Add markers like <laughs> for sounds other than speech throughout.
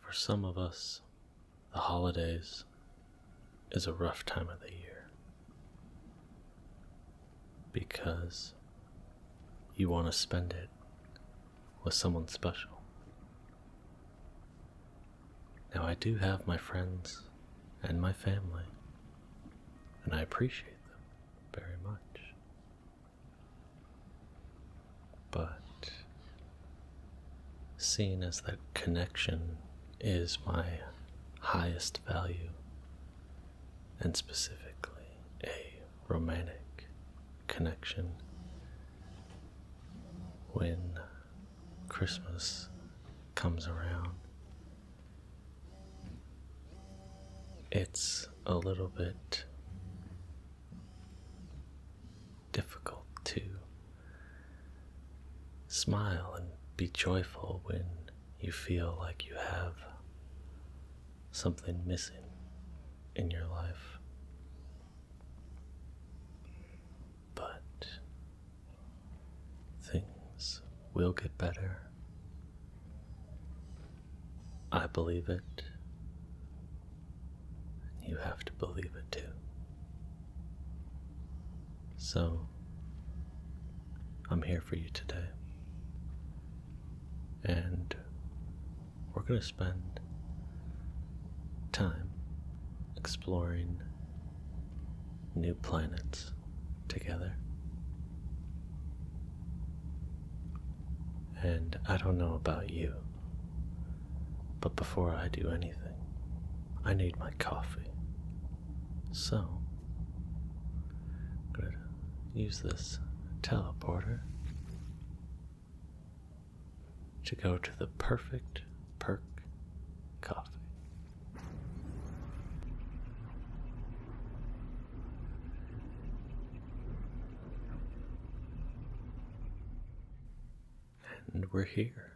For some of us, the holidays is a rough time of the year because you want to spend it with someone special. Now, I do have my friends and my family, and I appreciate them very much. But seeing as that connection is my highest value, and specifically a romantic connection, when Christmas comes around, it's a little bit difficult to smile and be joyful when you feel like you have something missing in your life. But things will get better. I believe it you have to believe it too. So, I'm here for you today. And we're going to spend time exploring new planets together. And I don't know about you, but before I do anything, I need my coffee. So, i use this teleporter to go to the perfect perk coffee. And we're here.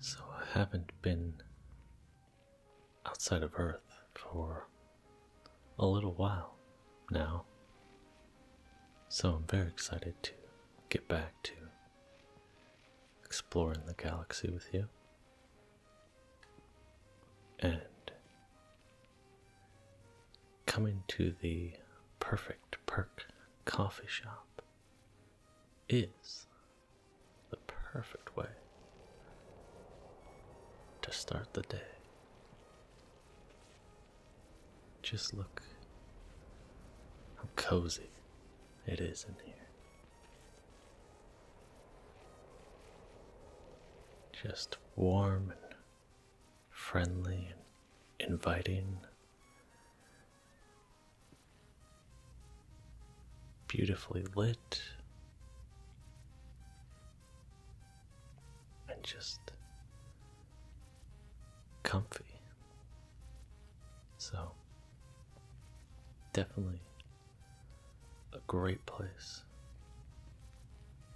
So I haven't been outside of Earth for a little while now. So I'm very excited to get back to exploring the galaxy with you and coming to the perfect perk coffee shop is the perfect way to start the day. Just look how cozy it is in here just warm and friendly and inviting. Beautifully lit, and just comfy. So, definitely a great place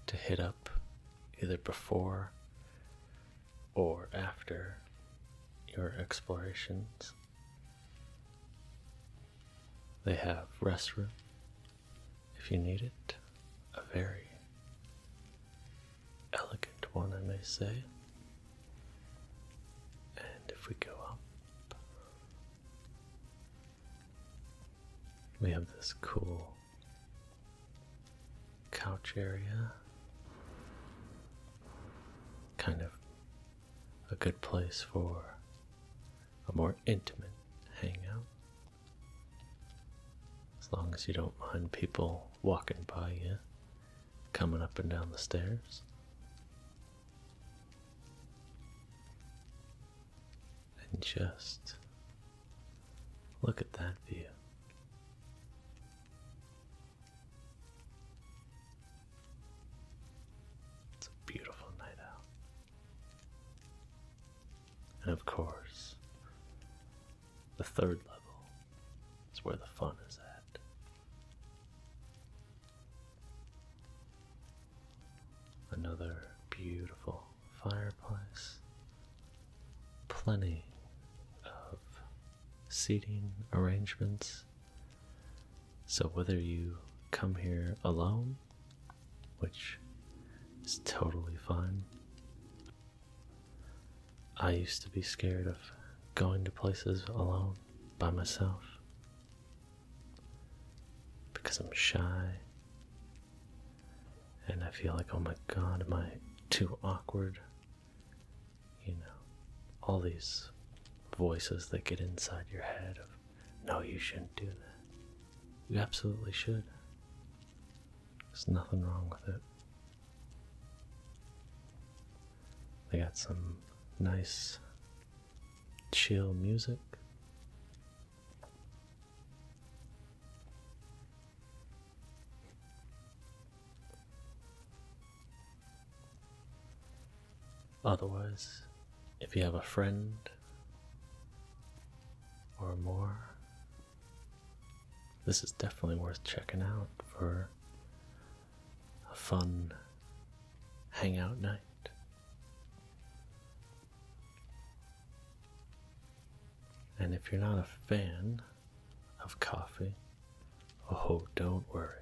to hit up either before or after your explorations. They have restroom if you need it, a very elegant one, I may say. And if we go up, we have this cool couch area. Kind of a good place for a more intimate hangout. As long as you don't mind people walking by you, coming up and down the stairs and just look at that view. It's a beautiful night out. And of course, the third level is where the fun is at. Another beautiful fireplace, plenty of seating arrangements. So, whether you come here alone, which is totally fine, I used to be scared of going to places alone by myself because I'm shy. And I feel like, oh my god, am I too awkward? You know, all these voices that get inside your head of, no, you shouldn't do that. You absolutely should. There's nothing wrong with it. I got some nice chill music. Otherwise, if you have a friend or more, this is definitely worth checking out for a fun hangout night. And if you're not a fan of coffee, oh, don't worry.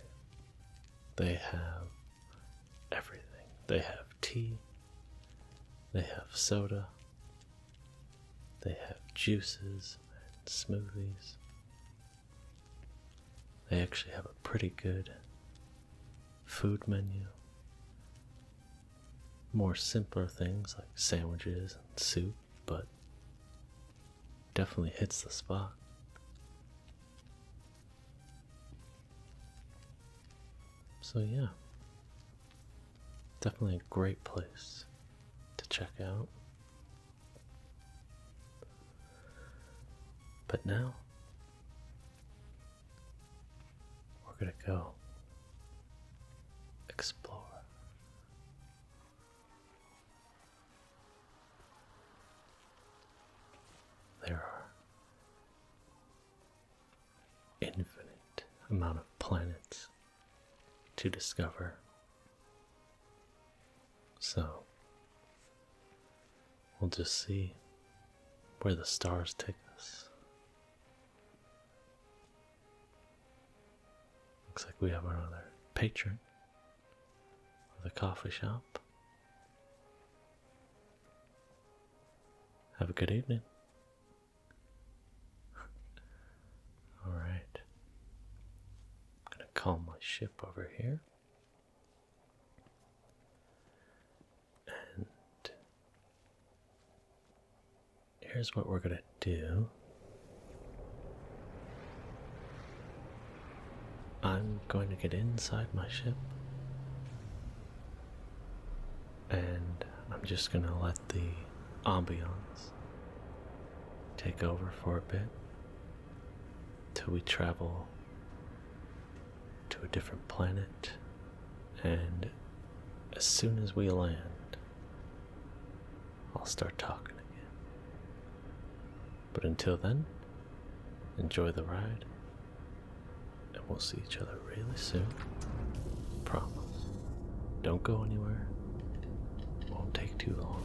They have everything. They have tea, they have soda, they have juices and smoothies. They actually have a pretty good food menu. More simpler things like sandwiches and soup, but definitely hits the spot. So, yeah, definitely a great place to check out. But now, we're gonna go explore. There are infinite amount of planets to discover. So we'll just see where the stars take us. Looks like we have another patron of the coffee shop. Have a good evening. <laughs> All right. I'm going to calm my ship over here. And here's what we're going to do. I'm going to get inside my ship. And I'm just going to let the ambiance take over for a bit till we travel to a different planet, and as soon as we land, I'll start talking again. But until then, enjoy the ride, and we'll see each other really soon. Promise. Don't go anywhere, won't take too long.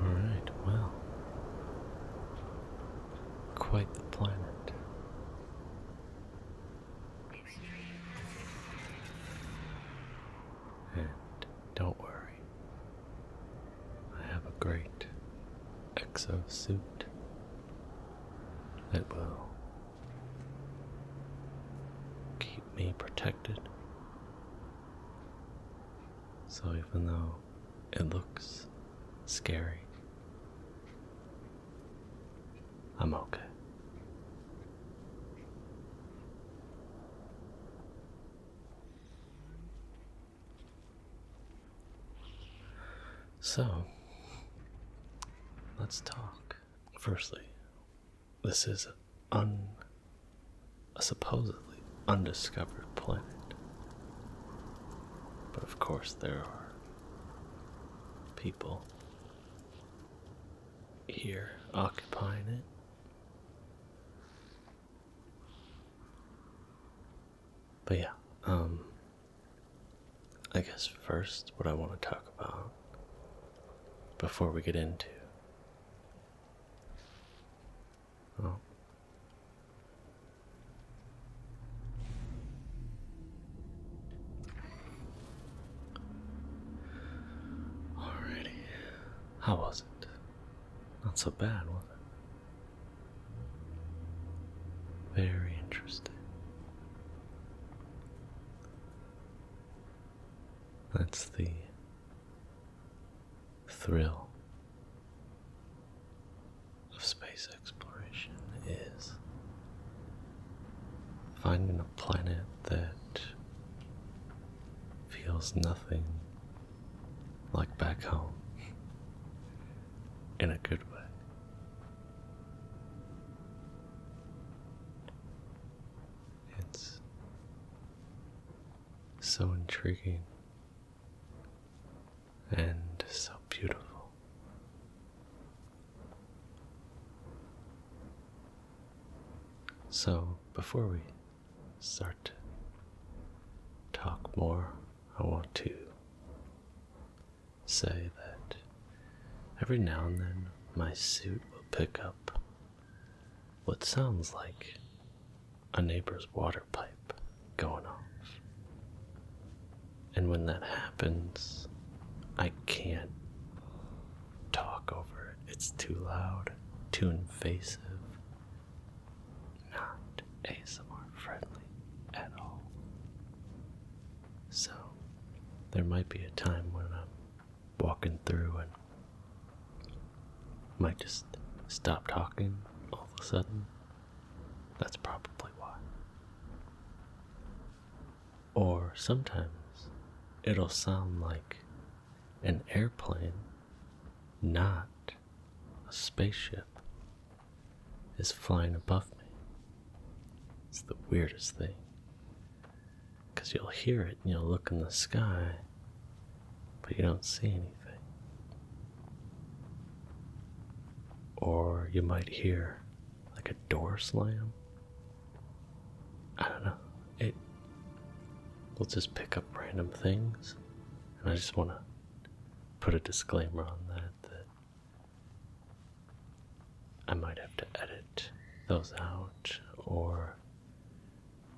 All right, well, Quite the planet. And don't worry, I have a great exo suit that will keep me protected. So even though it looks scary. I'm okay. So, let's talk. Firstly, this is un, a supposedly undiscovered planet. But of course, there are people here occupying it. But yeah, um, I guess first, what I want to talk about before we get into. Alrighty. How was it? Not so bad, was it? Very interesting. That's the thrill of space exploration is finding a planet that feels nothing like back home in a good way. It's so intriguing and so beautiful. So, before we start to talk more, I want to say that every now and then my suit will pick up what sounds like a neighbor's water pipe going off. And when that happens, I can't talk over it. It's too loud, too invasive, not ASMR friendly at all. So, there might be a time when I'm walking through and might just stop talking all of a sudden that's probably why. Or sometimes it'll sound like an airplane, not a spaceship, is flying above me. It's the weirdest thing. Because you'll hear it and you'll look in the sky, but you don't see anything. Or you might hear like a door slam. I don't know. It will just pick up random things. And I just want to put a disclaimer on that that I might have to edit those out or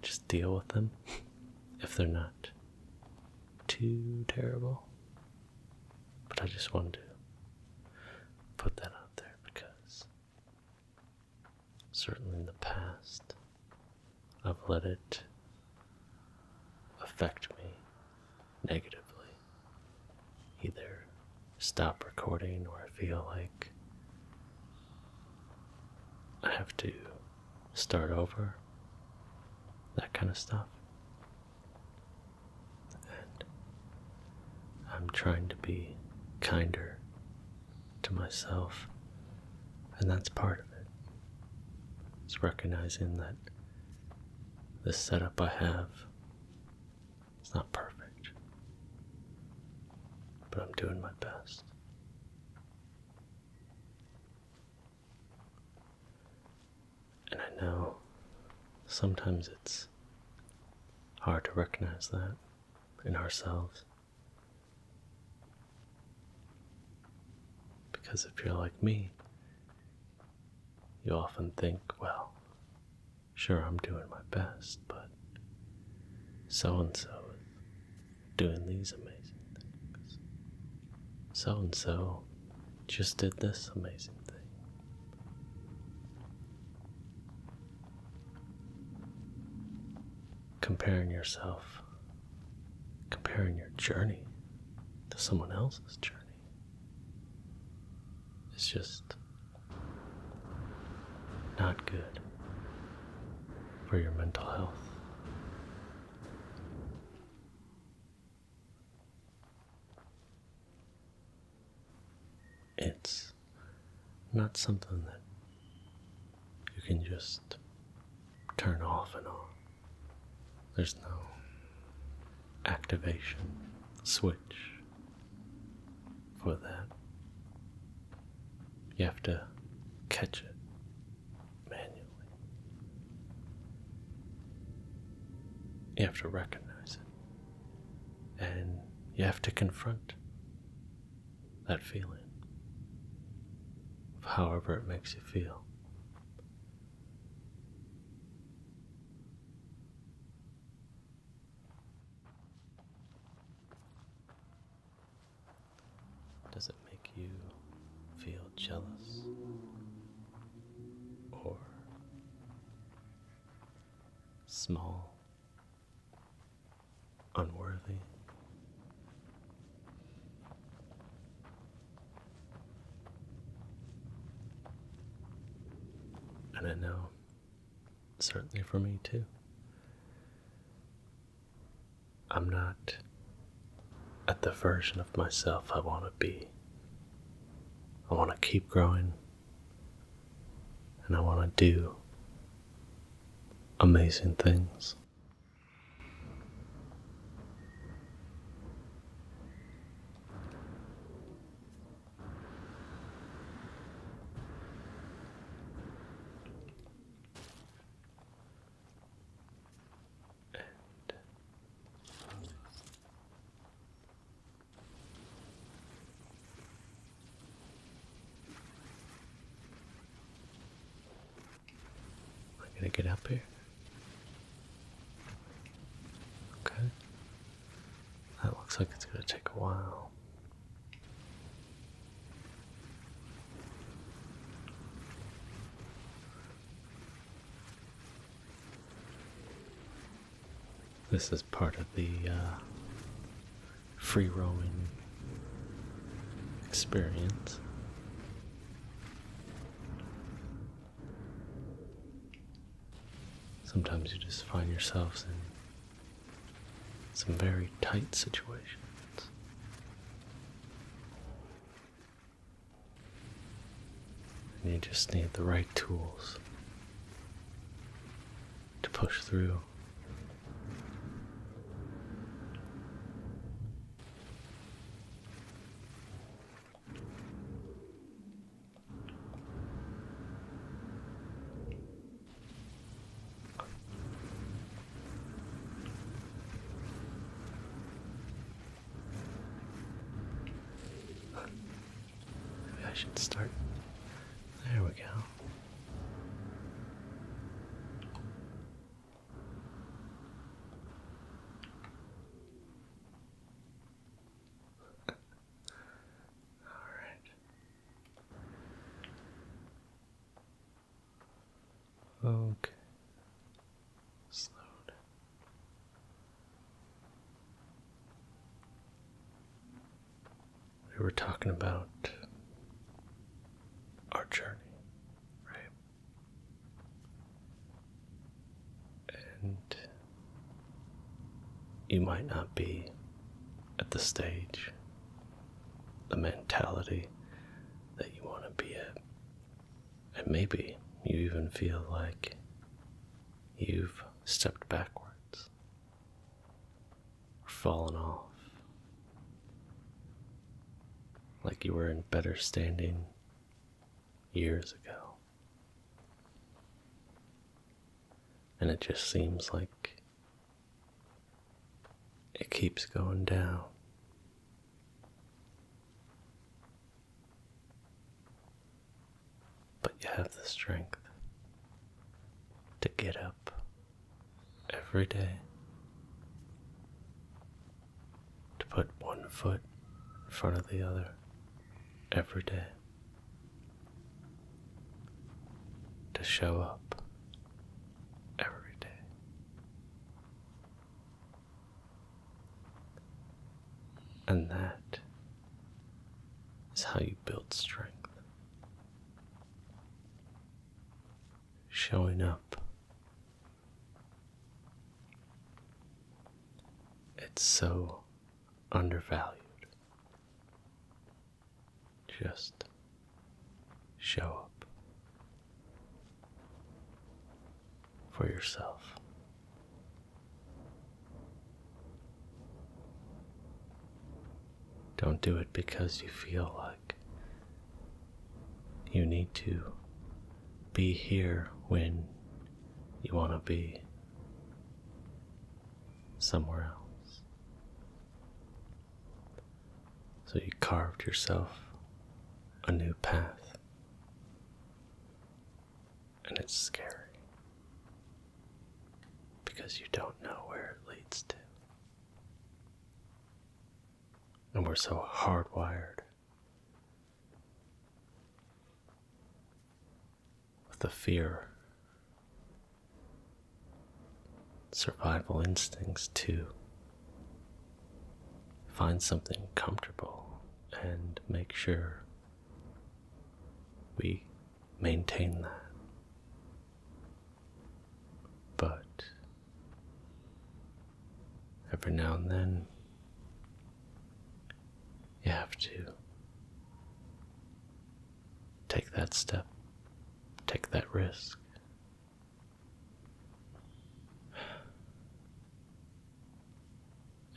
just deal with them <laughs> if they're not too terrible. But I just wanted to put that out there because certainly in the past I've let it affect me negatively. Either stop recording or I feel like I have to start over, that kind of stuff and I'm trying to be kinder to myself, and that's part of it. It's recognizing that this setup I have is not perfect, but I'm doing my best. And I know sometimes it's hard to recognize that in ourselves. Because if you're like me, you often think, well, sure, I'm doing my best, but so and so is doing these amazing things. So and so just did this amazing thing. Comparing yourself, comparing your journey to someone else's journey. It's just not good for your mental health. It's not something that you can just turn off and on. There's no activation switch for that. You have to catch it manually. You have to recognize it. And you have to confront that feeling, however, it makes you feel. Does it make you feel jealous or small, unworthy. And I know, certainly for me too, I'm not at the version of myself I want to be I want to keep growing and I want to do amazing things. I gonna get up here? Okay. That looks like it's gonna take a while. This is part of the uh, free roaming experience. Sometimes you just find yourselves in some very tight situations you just need the right tools to push through. Maybe I should start. There we go. <laughs> All right. Okay. Slow we were talking about our journey, right? And you might not be at the stage, the mentality that you want to be at. And maybe you even feel like you've stepped backwards, or fallen off, like you were in better standing years ago. And it just seems like it keeps going down but you have the strength to get up every day, to put one foot in front of the other every day, to show up every day. And that is how you build strength. Showing up. It's so undervalued. Just show up for yourself. Don't do it because you feel like you need to be here when you want to be somewhere else. So you carved yourself a new path, and it's scary because you don't know where it leads to. And we're so hardwired with the fear, survival instincts to find something comfortable and make sure we maintain that. But every now and then, you have to take that step, take that risk.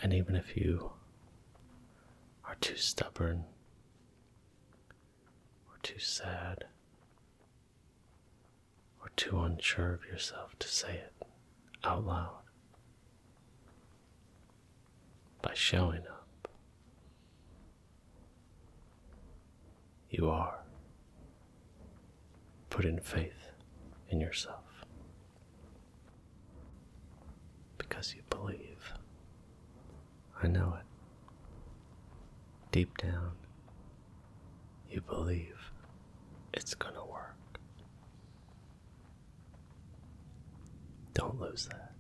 And even if you are too stubborn or too sad or too unsure of yourself to say it out loud. By showing up, you are putting faith in yourself. Because you believe. I know it. Deep down, you believe it's gonna work. Don't lose that.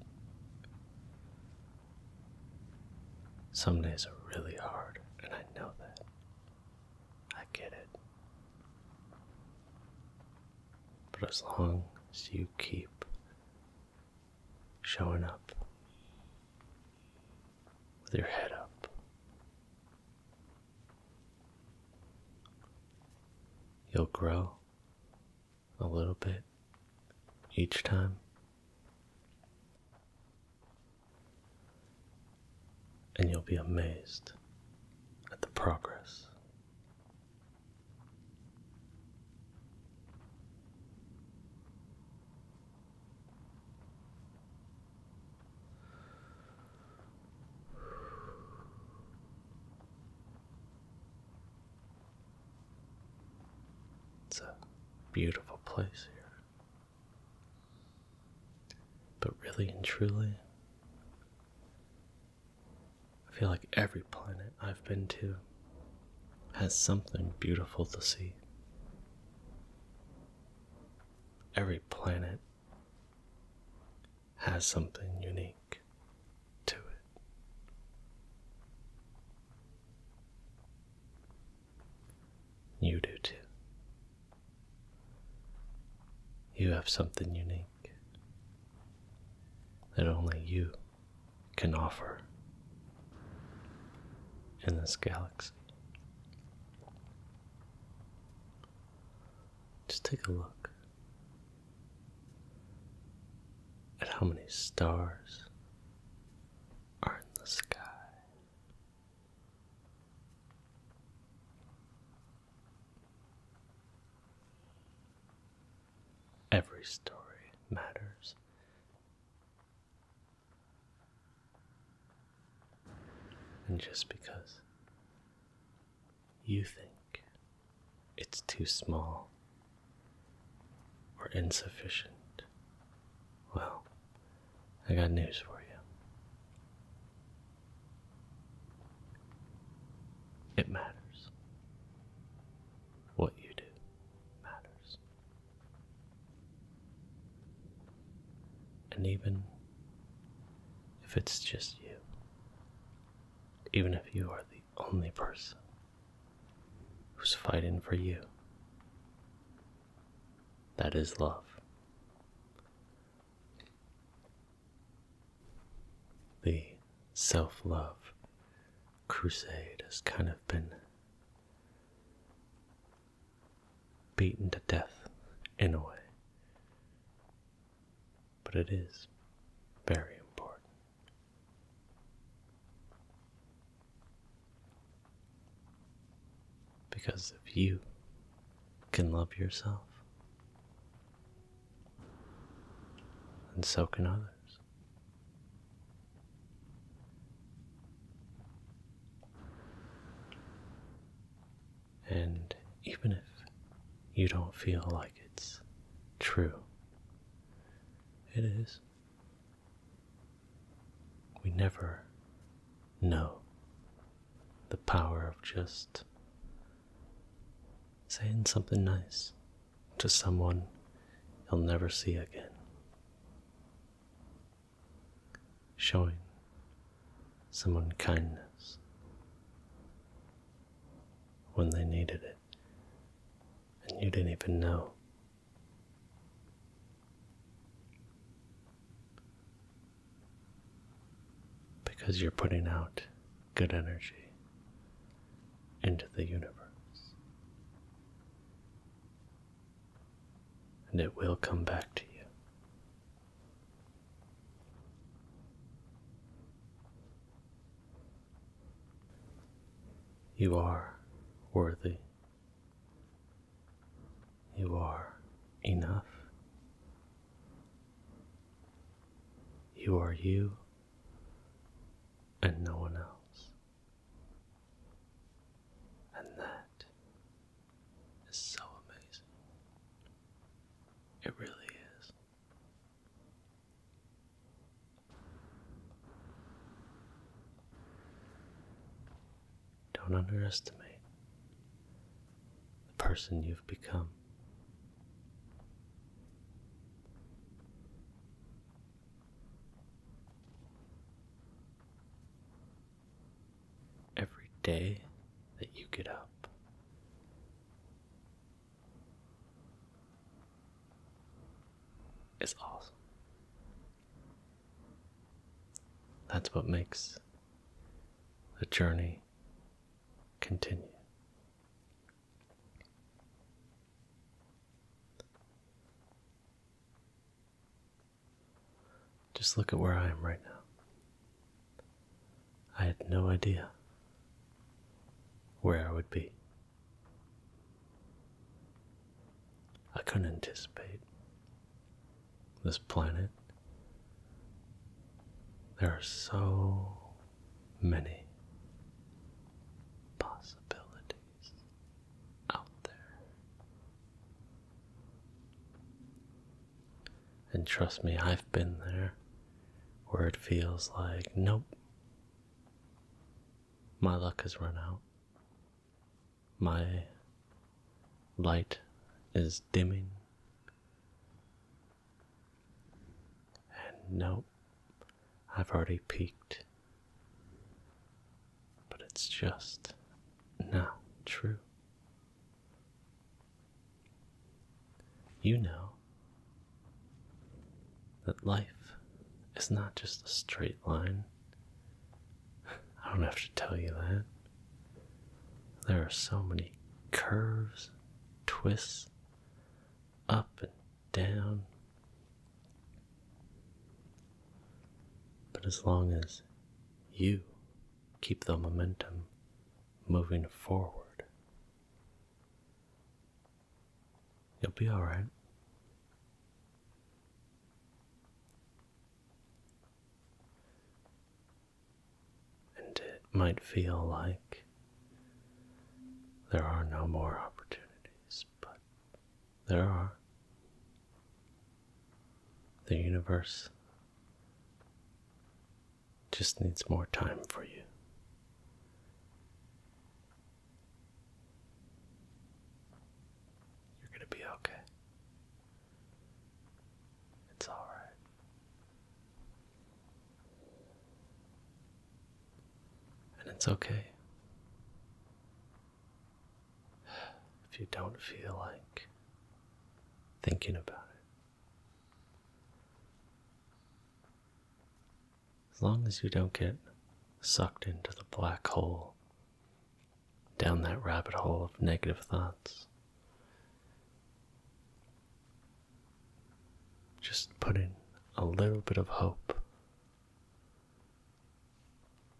Some days are really hard, and I know that. I get it. But as long as you keep showing up with your head up, you'll grow a little bit each time. And you'll be amazed at the progress it's a beautiful place here. But really and truly, I feel like every planet I've been to has something beautiful to see. Every planet has something unique to it. You do too. You have something unique that only you can offer in this galaxy. Just take a look at how many stars are in the sky. Every story matters. And just because you think it's too small or insufficient, well, I got news for you. It matters. What you do matters. And even if it's just you, even if you are the only person who's fighting for you, that is love the self love crusade has kind of been beaten to death in a way. But it is very important. Because if you can love yourself, and so can others. And even if you don't feel like it's true, it is. We never know the power of just saying something nice to someone he'll never see again. Showing someone kindness when they needed it and you didn't even know. Because you're putting out good energy into the universe. And it will come back to you. You are worthy. You are enough. You are you, and no one else. And that is so amazing. It really is. Don't underestimate the person you've become. Every day that you get up. Is awesome. That's what makes the journey continue. Just look at where I am right now. I had no idea where I would be. I couldn't anticipate this planet. There are so many possibilities out there. And trust me, I've been there where it feels like, nope, my luck has run out. My light is dimming. And nope. I've already peaked. But it's just not true. You know that life is not just a straight line. I don't have to tell you that. There are so many curves, twists, up and down. But as long as you keep the momentum moving forward, you'll be all right. And it might feel like there are no more opportunities, but there are. The universe just needs more time for you. You're going to be okay. It's all right. And it's okay if you don't feel like thinking about it. As long as you don't get sucked into the black hole, down that rabbit hole of negative thoughts. Just put in a little bit of hope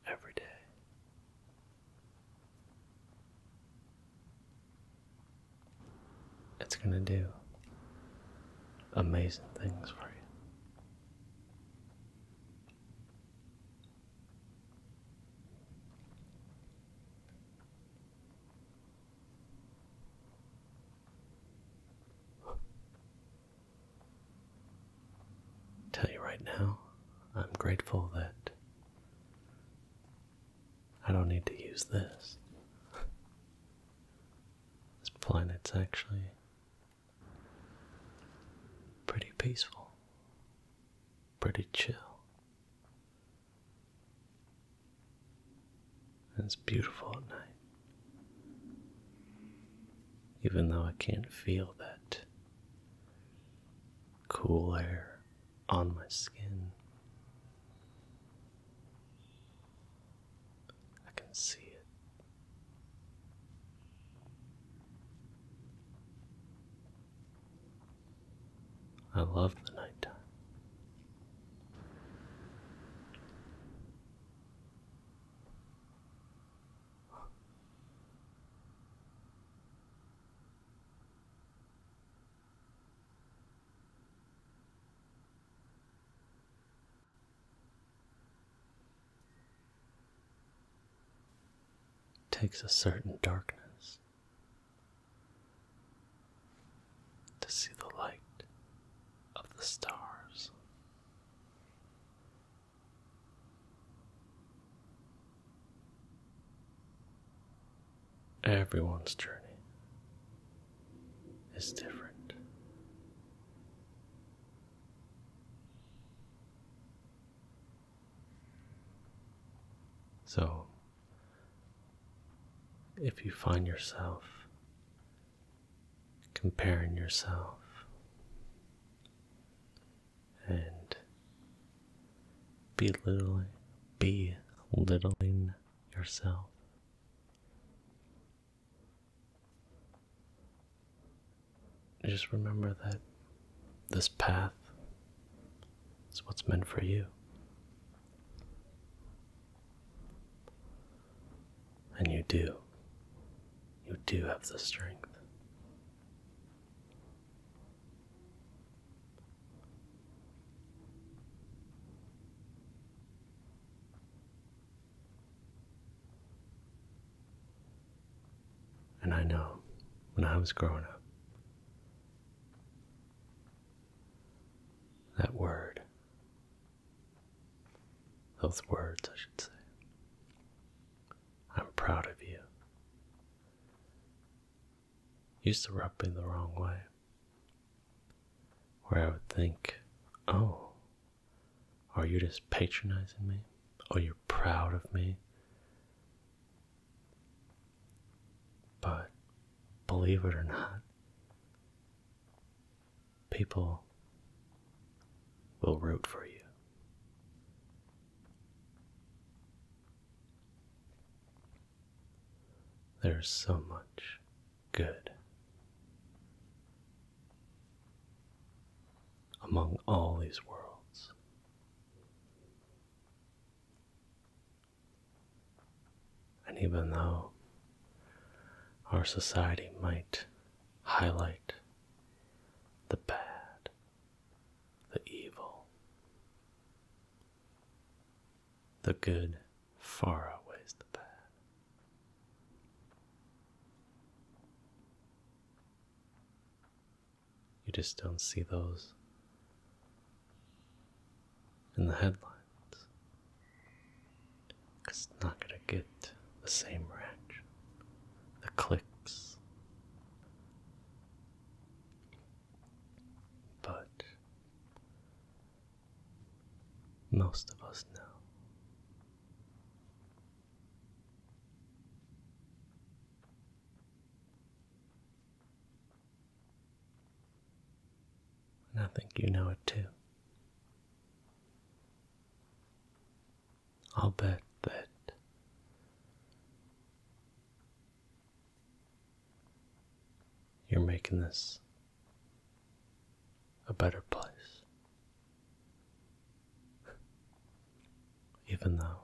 every day. It's going to do amazing things for you. Tell you right now, I'm grateful that I don't need to use this. <laughs> this planet's actually pretty peaceful, pretty chill and it's beautiful at night. Even though I can't feel that cool air on my skin, I can see it. I love the nighttime takes a certain darkness to see the light of the stars. Everyone's journey is different. So, if you find yourself comparing yourself and belittling, belittling yourself. Just remember that this path is what's meant for you. And you do. You do have the strength. And I know when I was growing up, that word those words, I should say. I'm proud of you. Used to rub me the wrong way. Where I would think, oh, are you just patronizing me? Oh, you're proud of me? But believe it or not, people will root for you. There's so much good among all these worlds. And even though our society might highlight the bad, the evil, the good far outweighs the bad. You just don't see those in the headlines because it's not going to get the same reaction, the clicks. But most of us know. And I think you know it too. I'll bet that you're making this a better place. Even though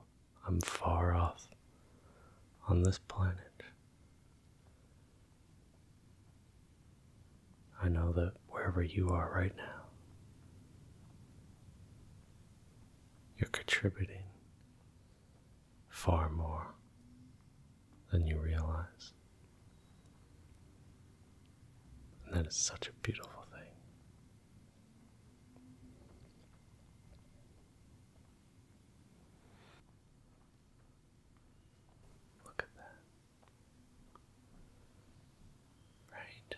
I'm far off on this planet, I know that wherever you are right now, you're contributing far more than you realize. And that is such a beautiful thing. Look at that. Right.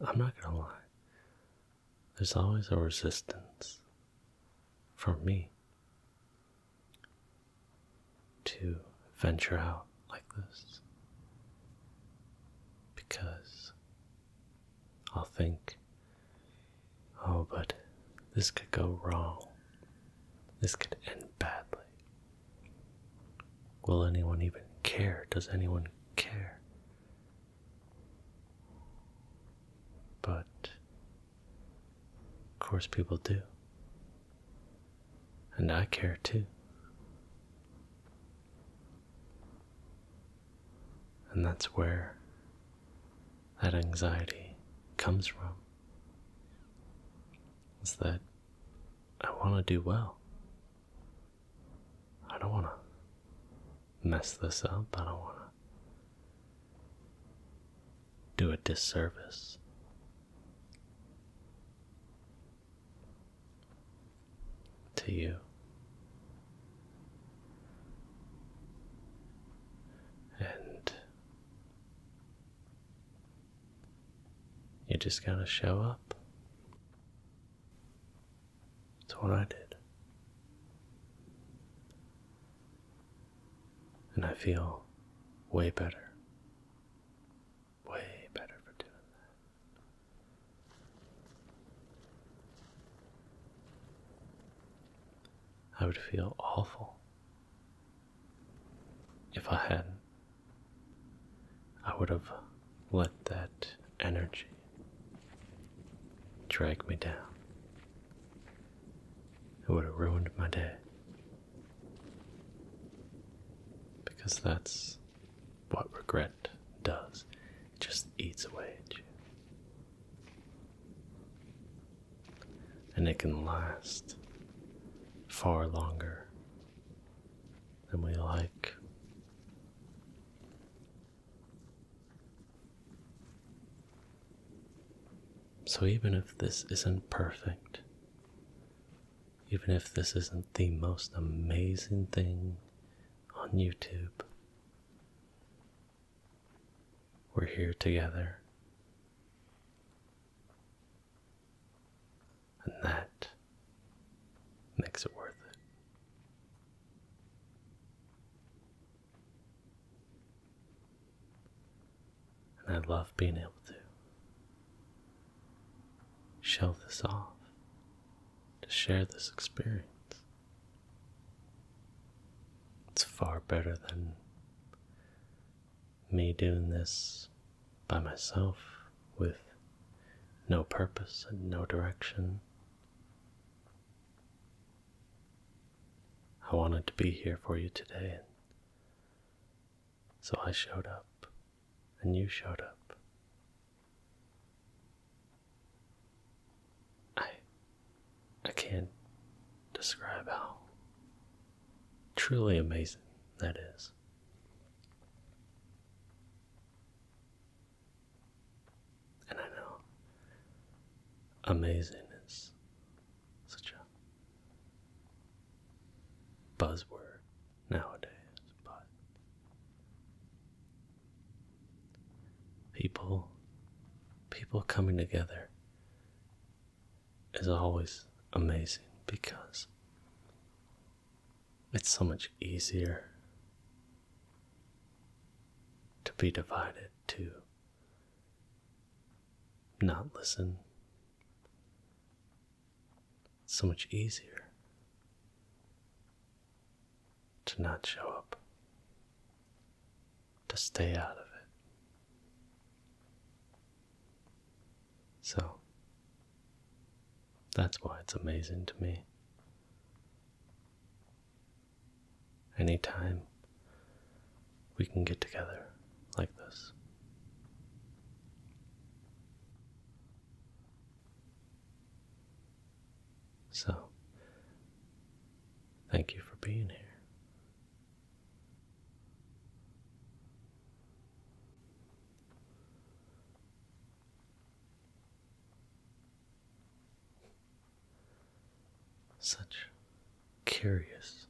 I'm not going to lie. There's always a resistance For me to venture out like this because I'll think Oh, but this could go wrong. This could end badly. Will anyone even care? Does anyone care? But, of course, people do. And I care too. And that's where that anxiety comes from is that I want to do well. I don't want to mess this up. I don't want to do a disservice. To you, and you just gotta show up. That's what I did. And I feel way better. Way better for doing that. I would feel awful if I had I would have let that energy drag me down. It would have ruined my day. Because that's what regret does. It just eats away at you and it can last far longer than we like. So, even if this isn't perfect, even if this isn't the most amazing thing on YouTube, we're here together. And that makes it worth it. And I love being able to show this off, to share this experience it's far better than me doing this by myself with no purpose and no direction. I wanted to be here for you today, and so I showed up, and you showed up. I I can't describe how truly amazing that is. And I know amazing is such a buzzword nowadays, but people people coming together is always amazing because it's so much easier to be divided, to not listen. It's so much easier to not show up to stay out of it. So, that's why it's amazing to me. Anytime we can get together like this. So, thank you for being here. Such curious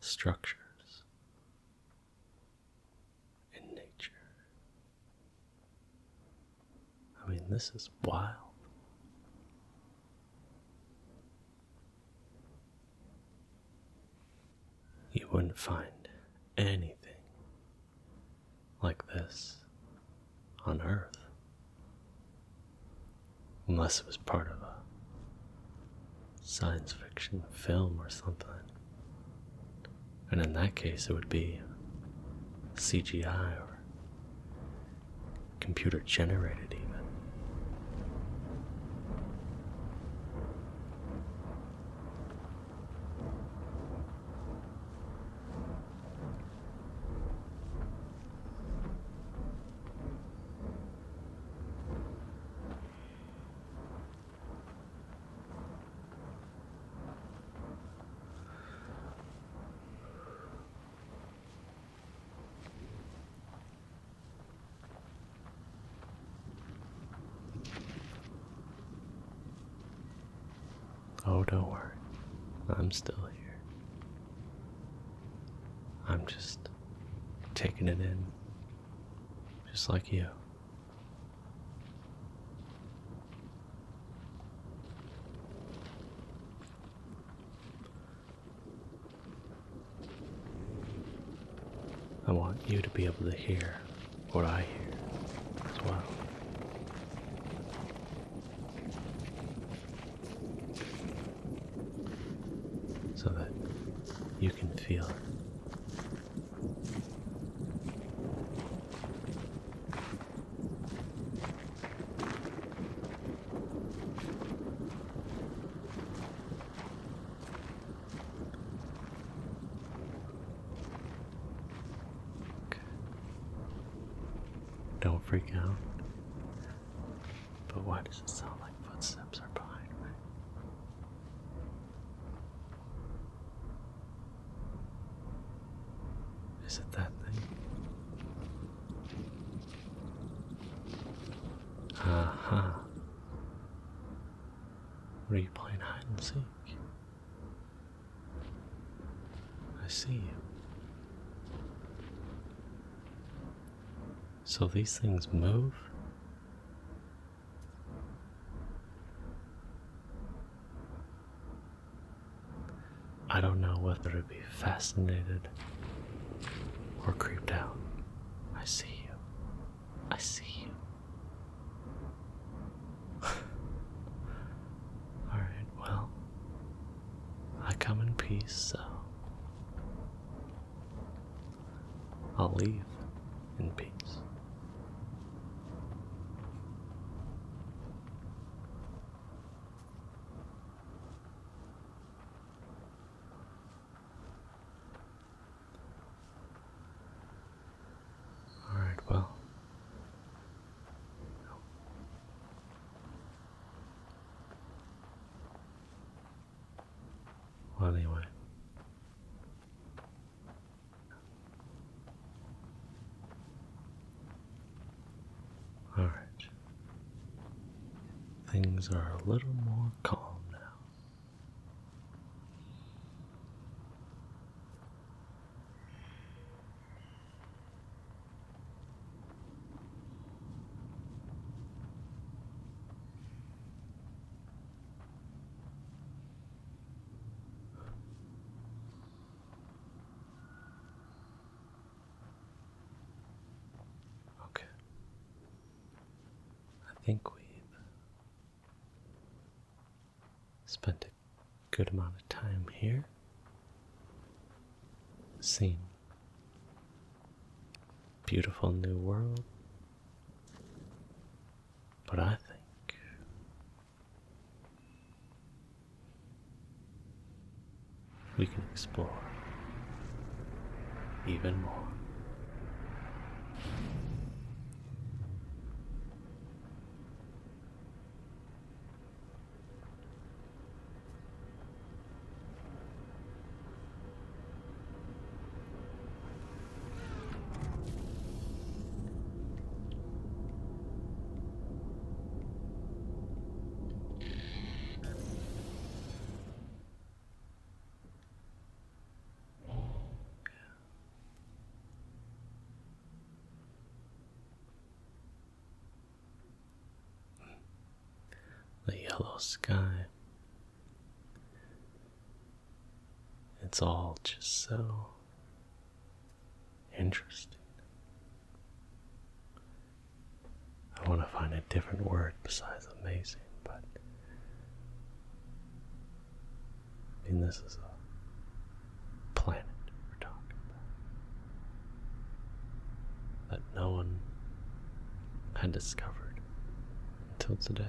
structures in nature. I mean, this is wild. You wouldn't find anything like this on Earth. Unless it was part of a science fiction film or something. And in that case, it would be CGI or computer generated, even. Oh, don't worry. I'm still here. I'm just taking it in, just like you. I want you to be able to hear what I hear as well. So that you can feel it. Don't freak out. But why does it sound like footsteps are behind me? Is it that thing? Aha. Are you playing hide and seek? I see you. So these things move? I don't know whether it fascinated or creeped out. I see you. I see you. <laughs> Alright, well, I come in peace, so I'll leave in peace. All right, well. Well, anyway. All right. Things are a little more calm now. Okay. I think we've spent a good amount of time here. seeing beautiful new world. But I think we can explore even more. The yellow sky. It's all just so interesting. I want to find a different word besides amazing, but I mean, this is a planet we're talking about that no one had discovered until today.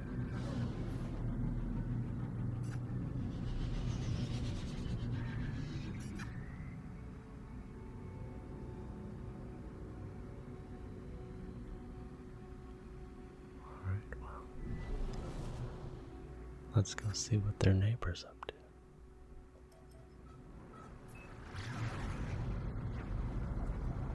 Alright, well, let's go see what their neighbor's up to.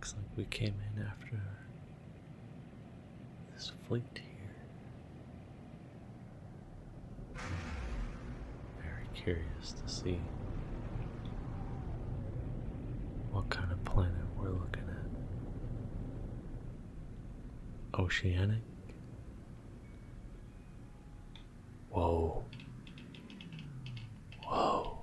Looks like we came in after this fleet here. Very curious to see what kind of planet we're looking at. Oceanic? Whoa. Whoa.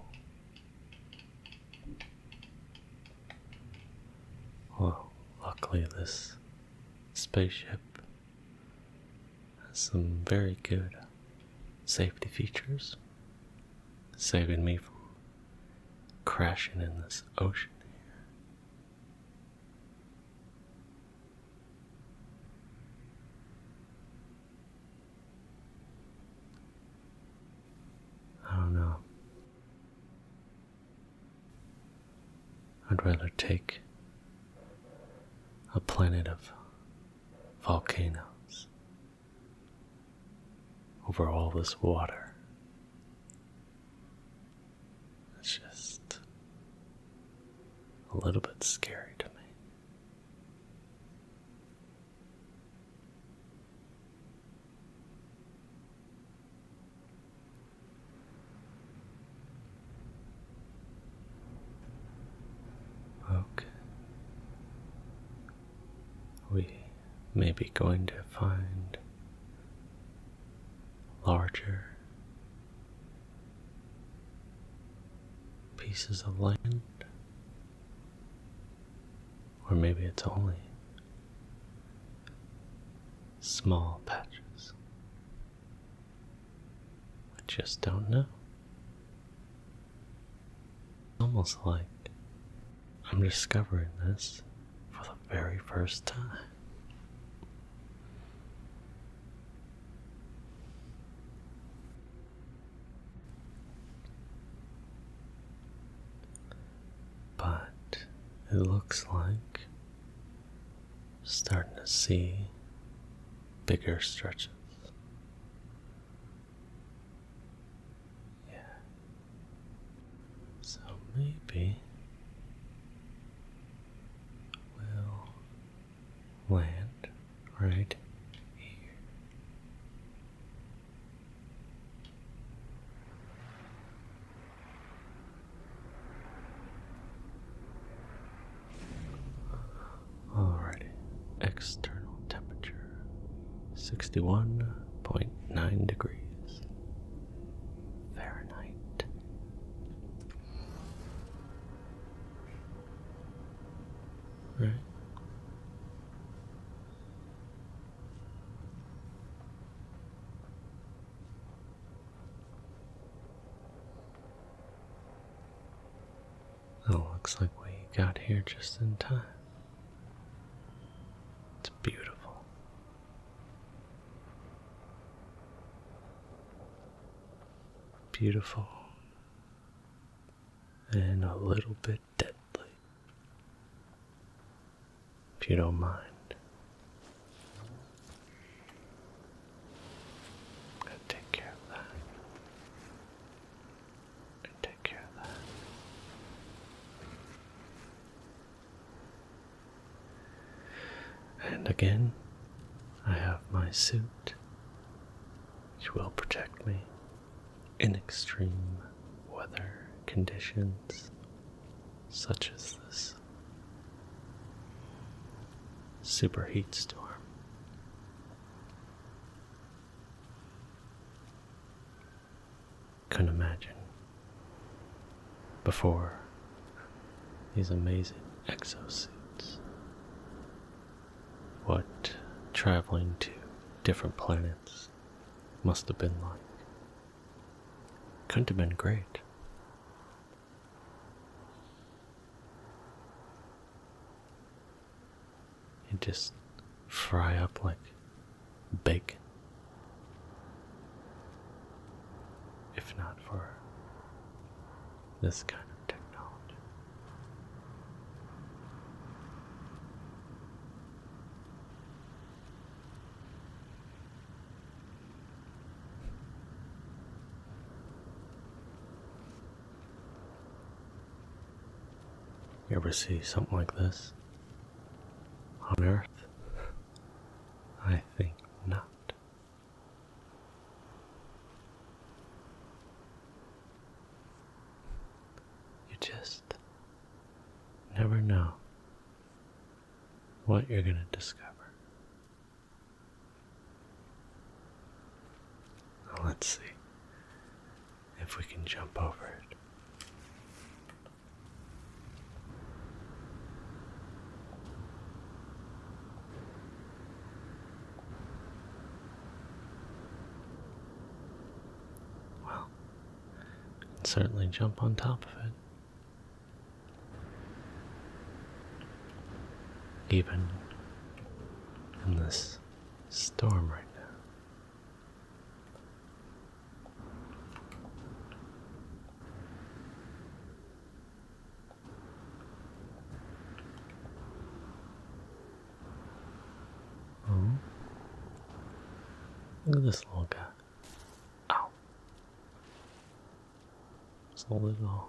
Well, luckily this spaceship has some very good safety features, saving me from crashing in this ocean here. I don't know. I'd rather take a planet of volcanoes over all this water. It's just a little bit scary to me. Okay. We may be going to find larger pieces of land or maybe it's only small patches. I just don't know. Almost like I'm discovering this for the very first time. But it looks like starting to see bigger stretches. Yeah. So maybe we'll land right here. Alrighty, external temperature 61.9 degrees Fahrenheit. Right. It looks like we got here just in time. It's beautiful. Beautiful and a little bit deadly. If you don't mind, I take care of that. I take care of that. And again, I have my suit, which will protect me in extreme weather conditions such as this superheat storm. could imagine before these amazing exosuits what traveling to different planets must have been like. Couldn't have been great. It just fry up like bacon. If not for this kind of technology. You ever see something like this on Earth? I think not. You just Never know what you're going to discover. let's see if we can jump over it. Well, and certainly jump on top of it. Even in this storm right now. Hmm. Look at this little guy. Ow. It's a little,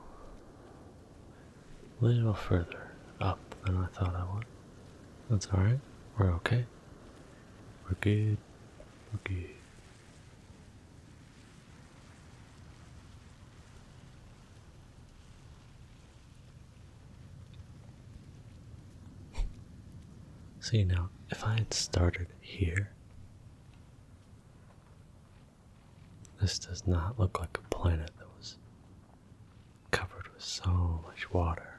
little further up than I thought I would. That's alright. We're okay. We're good. We're good. See <laughs> now, if I had started here, this does not look like a planet that was covered with so much water.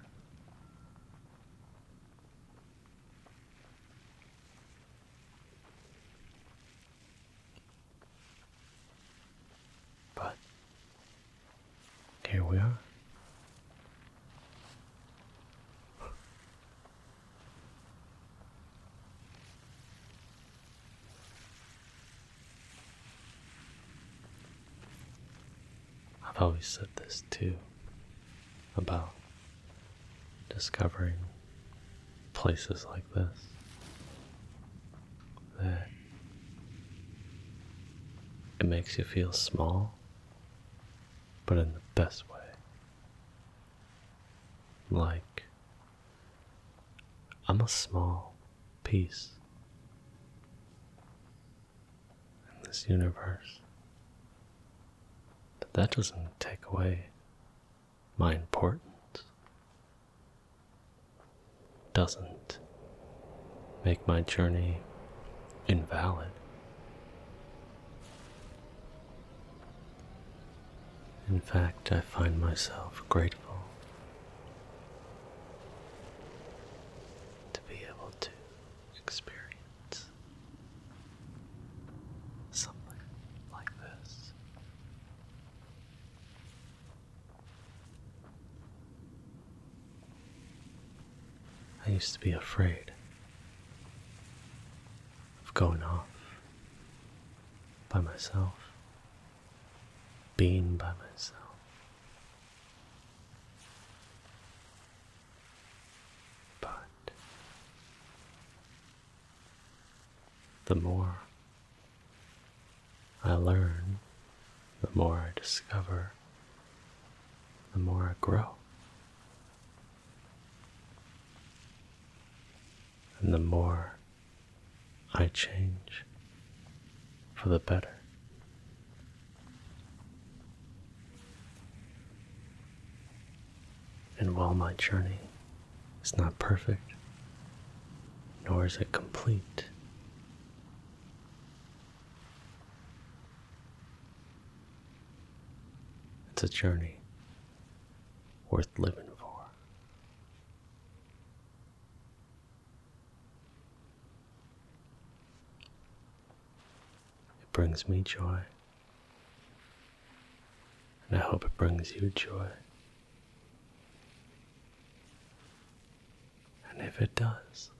But here we are. I've always said this too about discovering places like this that it makes you feel small but in the best way. Like, I'm a small piece in this universe, but that doesn't take away my importance. Doesn't make my journey invalid. In fact, I find myself grateful to be able to experience something like this. I used to be afraid of going off by myself, being by myself. But the more I learn, the more I discover, the more I grow. And the more I change, for the better. And while my journey is not perfect, nor is it complete, it's a journey worth living for. It brings me joy, and I hope it brings you joy. And if it does,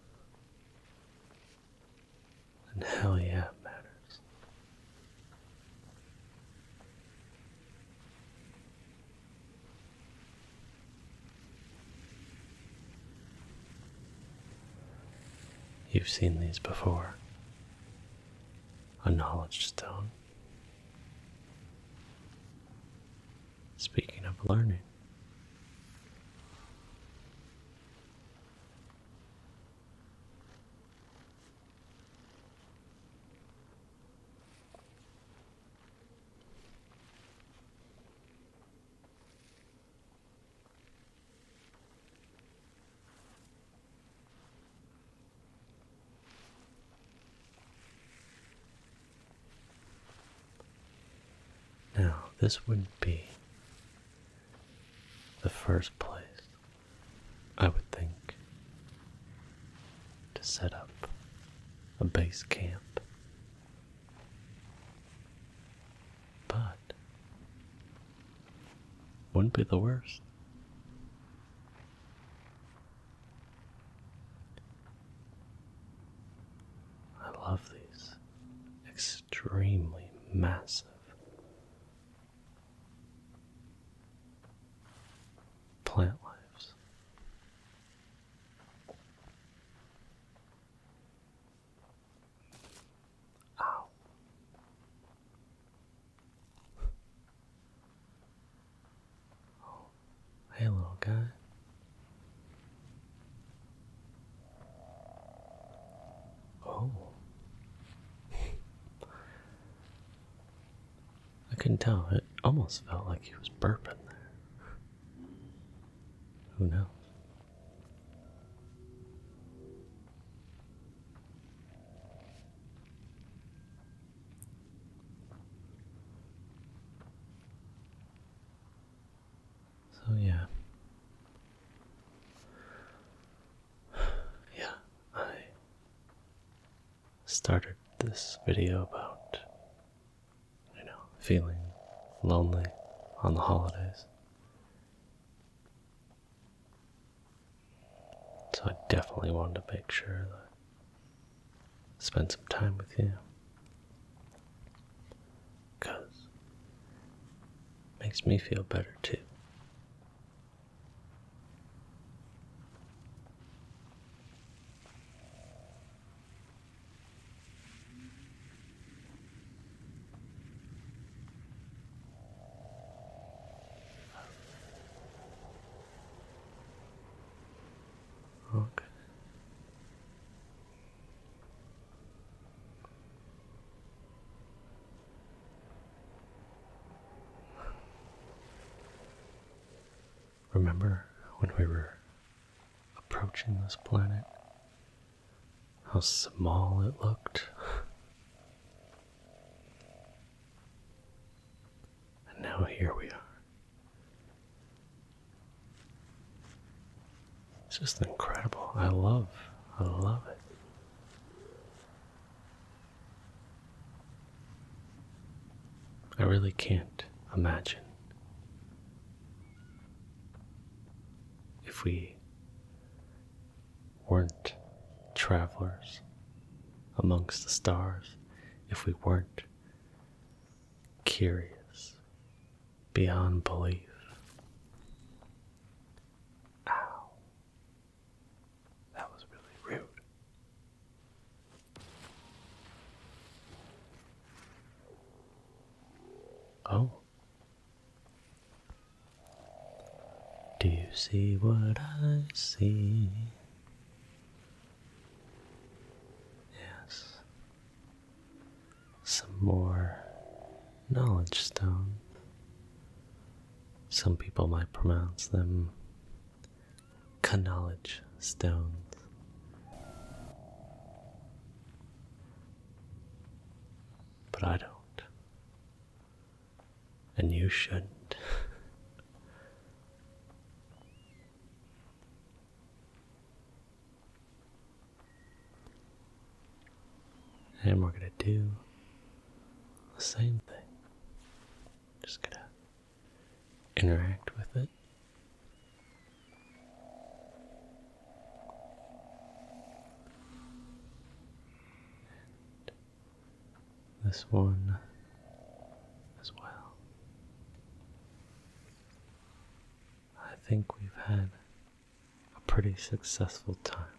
and how yeah, it matters. You've seen these before. A knowledge stone. Speaking of learning, now, this would be the first place I would think to set up a base camp. But wouldn't be the worst. I love these extremely massive plant lives. Ow. <laughs> Oh, hey, little guy. Oh. I couldn't tell. It almost felt like he was burping there. Who knows? So yeah. <sighs> Yeah, I started this video about, you know, feeling lonely on the holidays. So I definitely wanted to make sure that I spend some time with you because makes me feel better too. Okay. Remember when we were approaching this planet? How small it looked? and now here we are. It's just incredible. I love, I love it. I really can't imagine if we weren't travelers amongst the stars, if we weren't curious beyond belief, Ow. That was really rude. Oh. Do you see what I see? Yes. Some more knowledge stone. Some people might pronounce them knowledge stones. But I don't. And you shouldn't. <laughs> And we're going to do the same thing. Just going to interact with it. And this one as well. I think we've had a pretty successful time.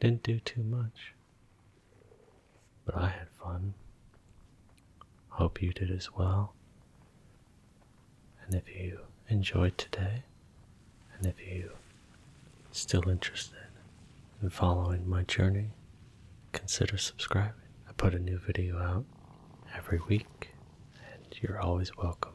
Didn't do too much, but I had fun. Hope you did as well. And if you enjoyed today, and if you still interested in following my journey, consider subscribing. I put a new video out every week, and you're always welcome.